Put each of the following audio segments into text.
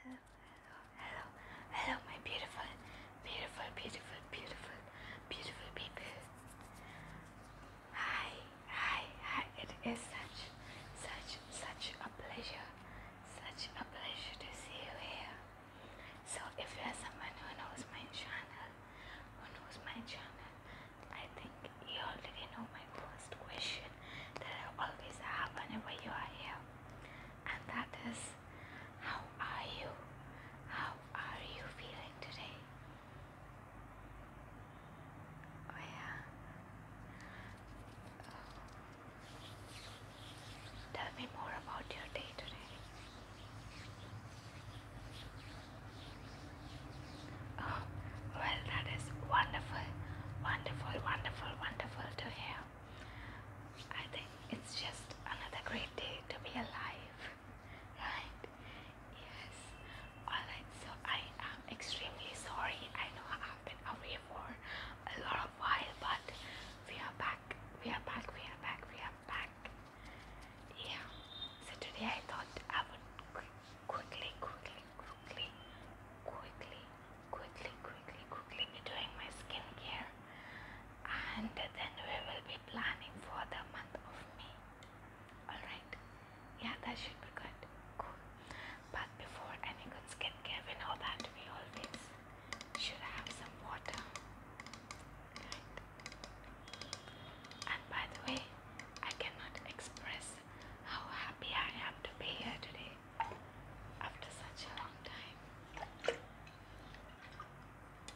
Hello, hello, hello, my beautiful, beautiful, beautiful, beautiful, beautiful people. Hi, hi, hi. It is such, such, such a pleasure, such a pleasure to see you here. So if you are someone who knows my channel, who knows my channel, I think you already know my first question that I always have whenever you are here. And that is, how are you? How are you feeling today? Oh yeah. Tell me more about your day today. Oh, well, that is wonderful, wonderful, wonderful, wonderful to hear. I think it's just another great day to be alive, right? Yes. Alright, so I am extremely sorry. I know I've been away for a lot of while, but we are back. We are back. We are back. We are back. Yeah. So today I thought I would quickly, quickly, quickly, quickly, quickly, quickly, quickly be doing my skincare, and then we will be planning for the month of May. All right. Yeah, that should be good. Cool. But before any good skincare, we know that we always should have some water. And by the way, I cannot express how happy I am to be here today after such a long time.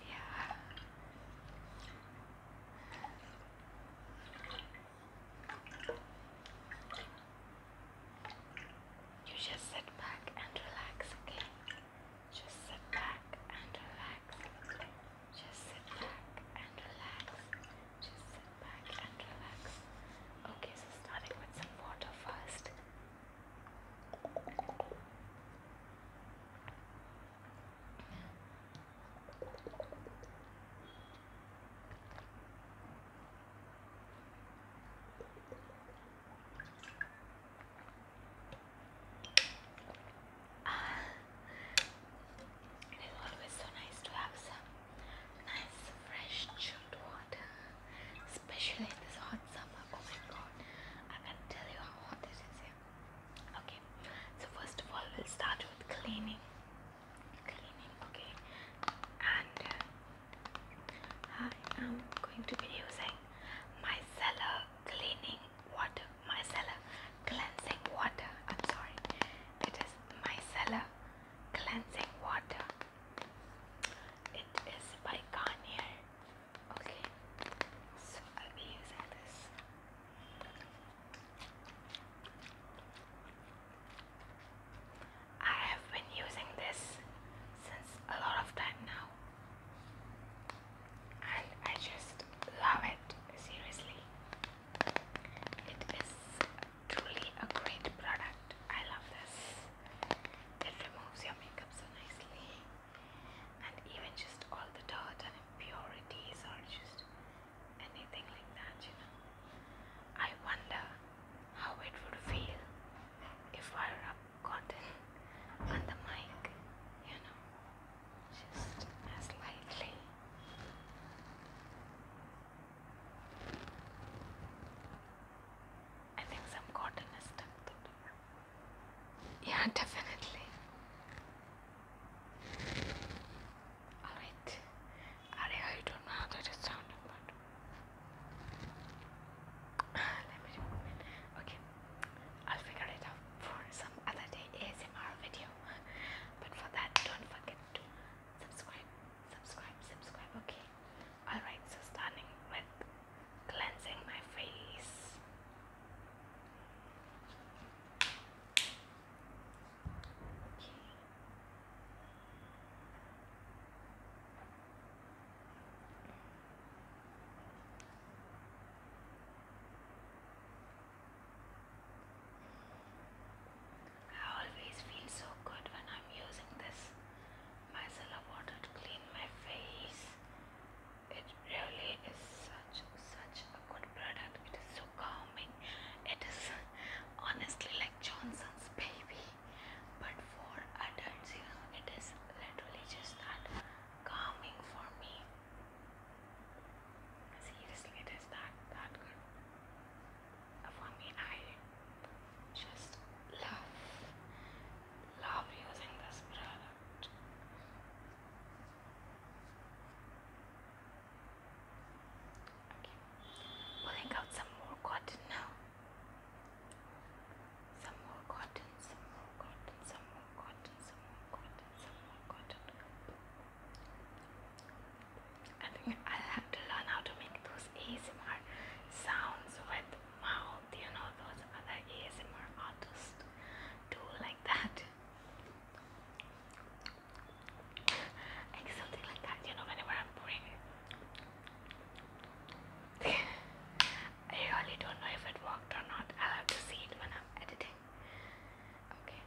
Yeah. You just sit back and relax, okay? Just sit back and relax. Just sit back and relax. Just sit back and relax. Okay, so starting with some water first. Ah, it is always so nice to have some nice, fresh, chilled water, especially in this hot summer. Oh my god, I can tell you how hot it is here. Okay, so first of all, we'll start with cleaning. Cleaning, okay, and uh, I am going to be using micellar cleaning water, micellar cleansing water. I'm sorry, it is micellar cleansing water. It is by Garnier. Okay, so I'll be using this. I have been using this since a lot of time now and I just love it seriously. It is truly a great product. I love this. It removes your makeup so nicely and even just all the dirt and impurities or just anything like that, you know. I wonder how it would feel if I rub cotton on the mic, you know, just as I think some cotton is stuck to it. Yeah, definitely. Alright, I don't know how that is sounding, but ah, let me remove it. Okay, I'll figure it out for some other day ASMR video. but for that, don't forget to subscribe, subscribe, subscribe. Okay, alright, so starting with cleansing my face. Okay. I always feel so good when I'm using this micellar water to clean my face. It really is such such a good product. It is so calming. It is honestly like Johnson's baby. But for adults, you it is literally just that calming for me. Seriously, it is that that good. For me, I just love love using this product. Okay, pulling out some more cotton now. Some more cotton, some more cotton, some more cotton, some more cotton, some more cotton. I i have to learn how to make those ASMR sounds with mouth, you know, those other ASMR artists do like that. Like something like that, you know, whenever I'm pouring I really don't know if it worked or not. I'll have to see it when I'm editing. Okay.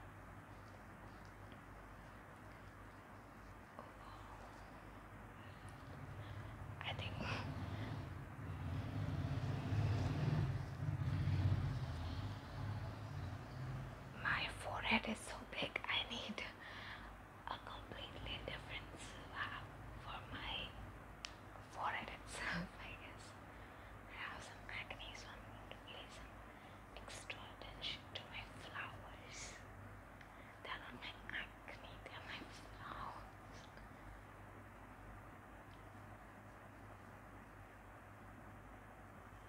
I think. My forehead is so big, I need a completely different slab for my forehead itself, I guess. I have some acne, so I'm going to extra attention to my flowers. They're not my acne, they're my flowers.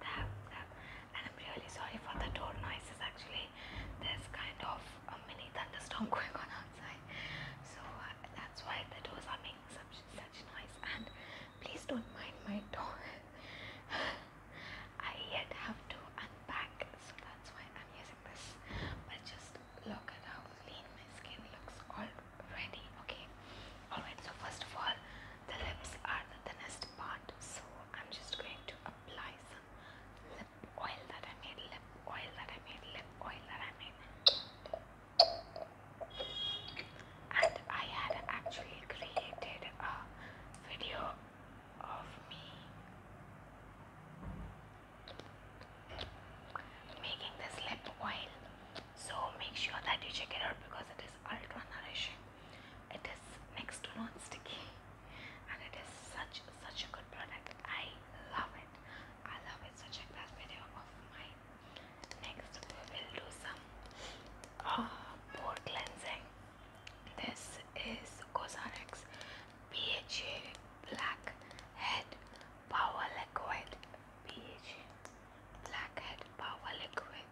tap, tap. And I'm really sorry for the door noises actually. There's kind of a mini thunderstorm going on outside. So uh, that's why the doors are making such, such noise. And please don't mind my door. I yet have to unpack, so that's why I'm using this. But just look at how clean my skin looks already. Okay. Alright, so first of all, the lips are the thinnest part so I'm just going to apply some lip oil that I made lip oil that I made lip oil that I made and I had actually created a video of me making this lip oil so make sure that you check it out because it ultra nourishing. It is next to non-sticky and it is such such a good product. I love it. I love it. So check that video of mine. Next we will do some uh, pore cleansing. This is Cosrx BHA Black Head Power Liquid BHA blackhead power liquid.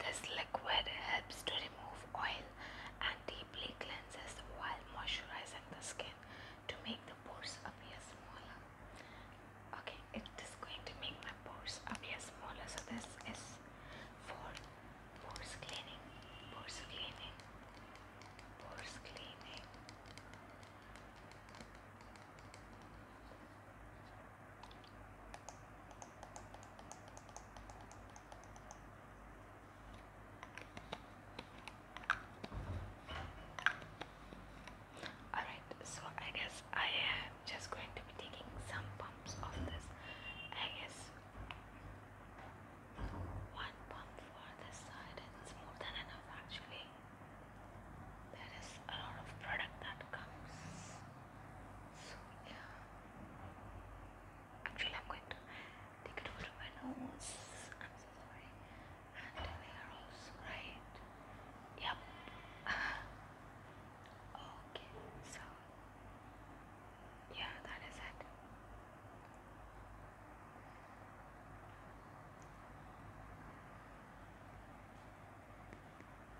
This liquid helps to remove oil and deeply cleanses while moisturizing the skin to make the pores appear smaller. Okay, it is going to make my pores appear smaller. So this is for pores cleaning, pores cleaning, pores cleaning. Alright, so I guess I am just going to be taking some pumps of this. I guess one pump for this side, it's more than enough actually there is a lot of product that comes so yeah actually I'm going to take it over to my nose I'm so sorry and here also right yep okay so yeah that is it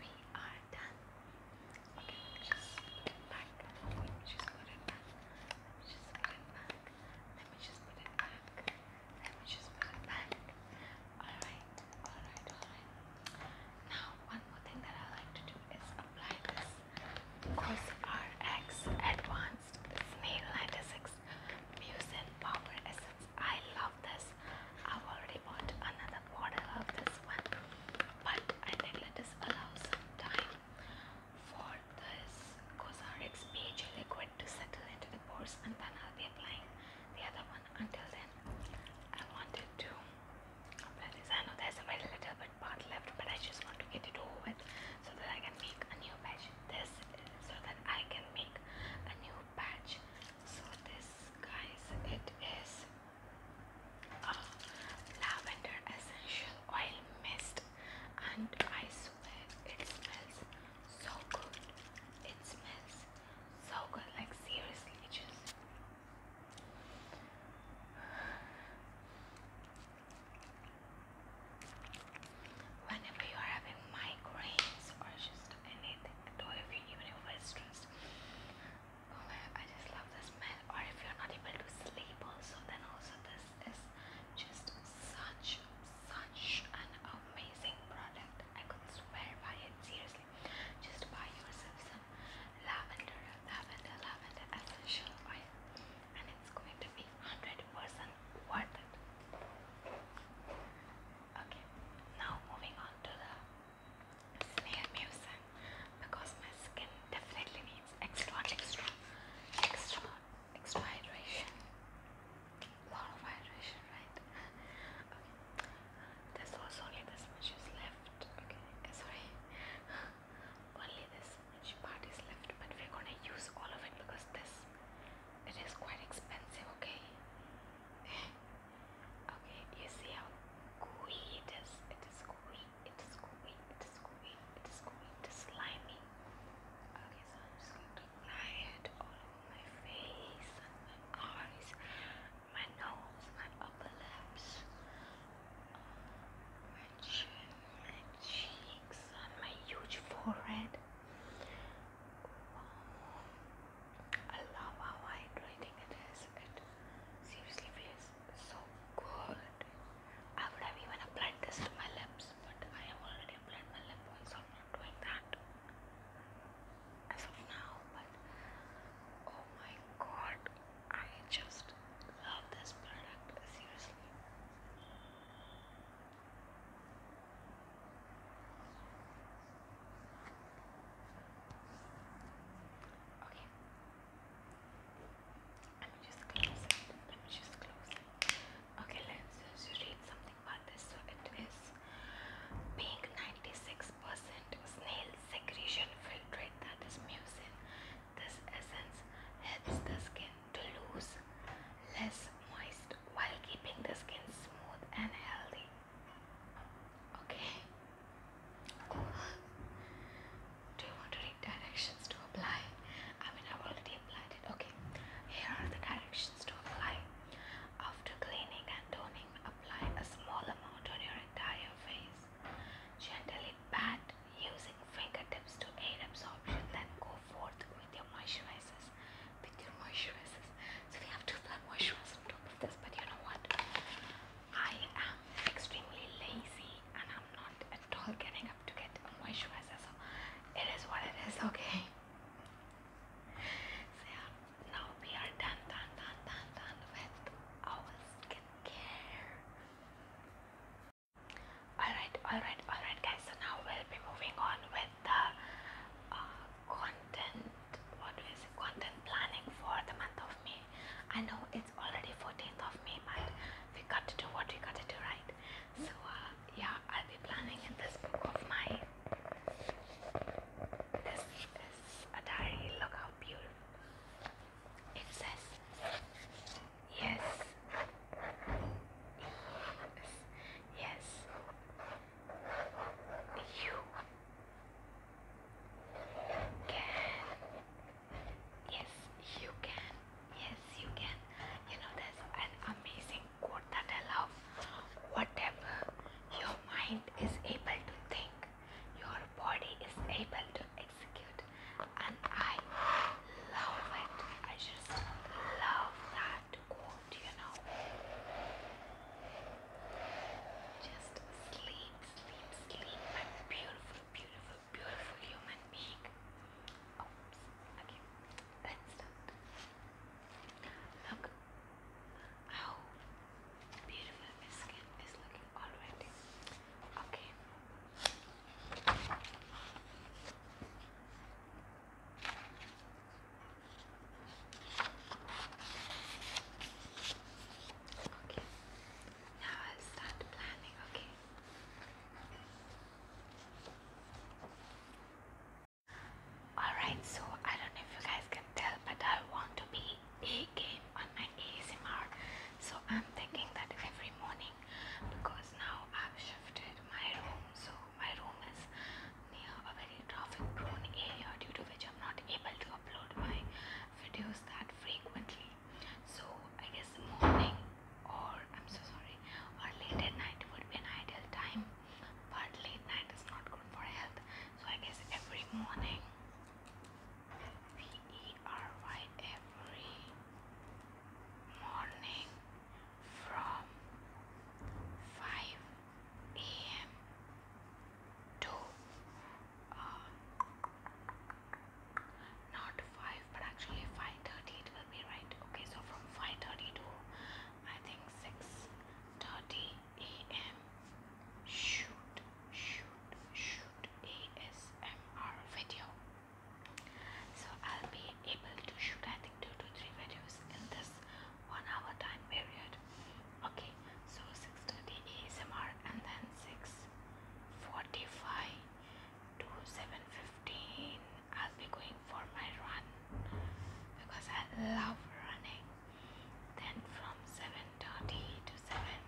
we are done. Okay, just put it back. just put it back. just put it back. Let me just put it back. Let me just put it back. Alright, alright, alright. Now, one more thing that I like to do is apply this COSRX Advanced Snail 96 Mucin Power SR. I love this. I've already bought another bottle of this one, but I think let us allow some time for this Cosrx Beige liquid to settle into the pores, and then I'll be applying the other one. Until then, I wanted to apply I know there's a little bit part left, but I just want to get it over with so that I can make a new batch. This so that I can make a new batch so this guys it is a lavender essential oil mist and I swear it smells so good it smells so good like seriously it just Whenever you are having migraines or just anything at if you, are stressed. Oh my I just love this smell. Or if you're not able to sleep, also, then also this is just such, such an amazing product. I could swear by it, seriously. Just buy yourself some lavender, lavender, lavender essential oil, and it's going to be 100% worth it. Okay, now moving on to the smear mucin because my skin definitely needs extra, extra, extra, extra Lot of hydration, right? Okay, there's also only this much is left. Okay, sorry, only this much part is left, but we're gonna use all of it because this it is quite expensive. Okay, okay, you see how gooey it is? It is gooey, it is gooey, it is gooey, it is gooey, it is slimy. Okay, so I'm just going to apply it all over my face and my eyes, my nose, my upper lips, uh, my chin, my cheeks, and my huge forehead. I love how hydrating it is. It seriously feels so good. I would have even applied this to my lips, but I have already applied my lip oil, so I'm not doing that as of now. But oh my god, I just love this product. Seriously. Okay. Let me just close it. Let me just close it. Okay, let's read something about this. So it is being 96% snail secretion filtrate that is mucin. This essence helps the skin to lose less moist while keeping the skin smooth and healthy. Okay. Do you want to read directions to apply? I mean, I've already applied it. Okay. Here are the directions to apply. After cleaning and toning, apply a small amount on your entire face. Gently pat using fingertips to aid absorption, then go forth with your moisturizers picture moisturizers. So we have to apply moisturizer on top of this. But you know what? I am extremely lazy and I'm not at all getting up to get a moisturizer. So it is what it is, okay? So yeah, now we are done, done, done, done, done with our skincare. Alright, alright, alright guys, so now we'll be moving on with the uh, content what is content planning for the month of May. I know it's already 14th of May, but we got to do what we got to do, right? So uh, yeah, I'll be planning in this book of mine. This is a diary. Look how beautiful it says. Yes. Yes. Yes. You can. Yes, you can. Yes, you can. You know, that's an amazing quote that I love. Whatever your mind is able to think, your body is able to execute. And I love it. I just love that that quote, you know. Just sleep, sleep, sleep, my beautiful, beautiful, beautiful human being. Oops, okay, let's start. Look how beautiful my skin is looking already. Okay. Okay, now I'll start planning, okay? Alright, so I don't know if you guys can tell, but I want to be a game on my ASMR. So I'm thinking that every morning because now I've shifted my room, so my room is near a very traffic prone area due to which I'm not able to upload my videos that frequently. So I guess morning or I'm so sorry late at night would be an ideal time. But late night is not good for health. So I guess every morning P E R Y every morning from 5 a.m. to uh, not 5 but actually 5.30 it will be right okay so from 5.30 to I think 6.30 a.m. shoot shoot shoot ASMR video so I'll be able to shoot I think two to three videos in this one hour time period. Okay, so 6:30 ASMR and then 6:45 to 7:15 I'll be going for my run because I love running. Then from 7:30 to 7:45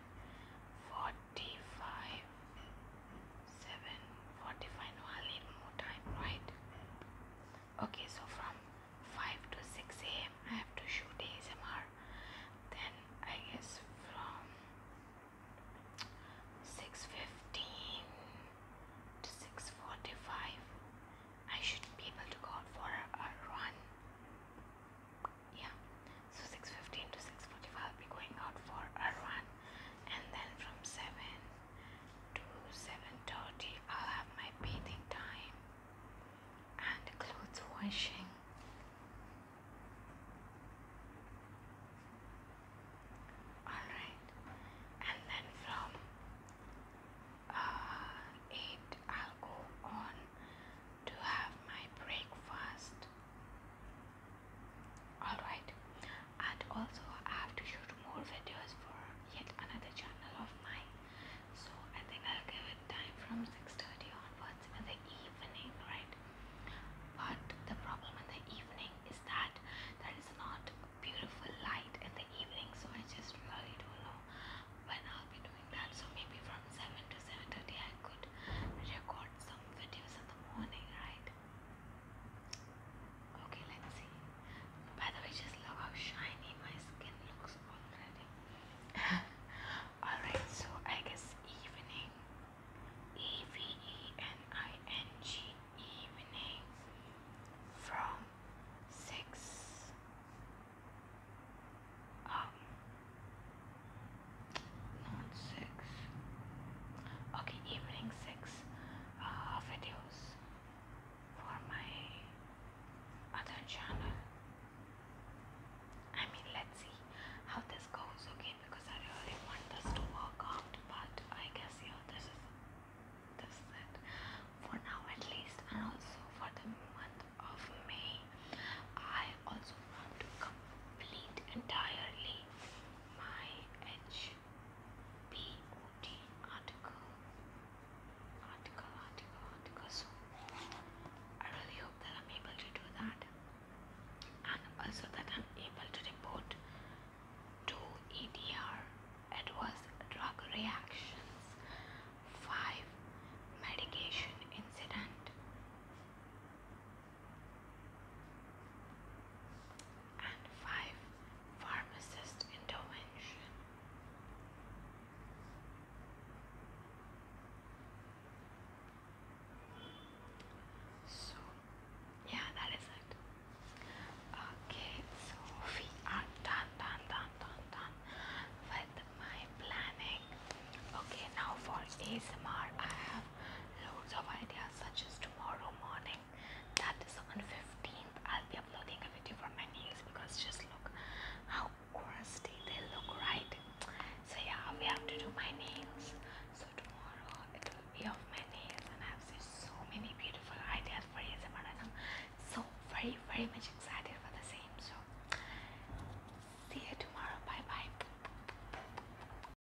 745 I'll need more time right okay so from 5 to 6 a.m. I have to shoot ASMR then I guess from 6.15 to 6.45 I should be able to go out for a, a run yeah so 6.15 to 6.45 I'll be going out for a run and then from 7 to 7.30 I'll have my bathing time and clothes washing. Alright, and then from uh, 8 I'll go on to have my breakfast Alright, and also I have to shoot more videos for yet another channel of mine. So I think I'll give it time from 6:30 onwards in the evening, right? But the problem in the evening is that there is not beautiful light in the evening, so I just really don't know when I'll be doing that. So maybe from 7 to 7:30 I could record some videos in the morning, right? Okay, let's see. By the way, just love how shiny my skin looks already. Alright, so I guess evening. E V E N I N G evening from six um not six. Okay, evening six uh, videos for my other channel. I mean, let's see how this goes, okay? Because I really want this to work out, but I guess yeah, this is this is for now at least, and also for the month of May, I also want to complete entirely my edge POT article, article, article, article. So I really hope that I'm able to do that, and also that I'm able to report to EDR adverse drug reactions. Five medication incident and five pharmacist intervention. So, yeah, that is it. Okay, so we are done, done, done, done, done with my planning. Okay, now for ASMR, I have loads of ideas such as tomorrow morning that is on 15th I'll be uploading a video for my nails because just look how crusty they look right so yeah we have to do my nails so tomorrow it will be of my nails and I've so many beautiful ideas for you, and so very very much excited for the same so see you tomorrow bye bye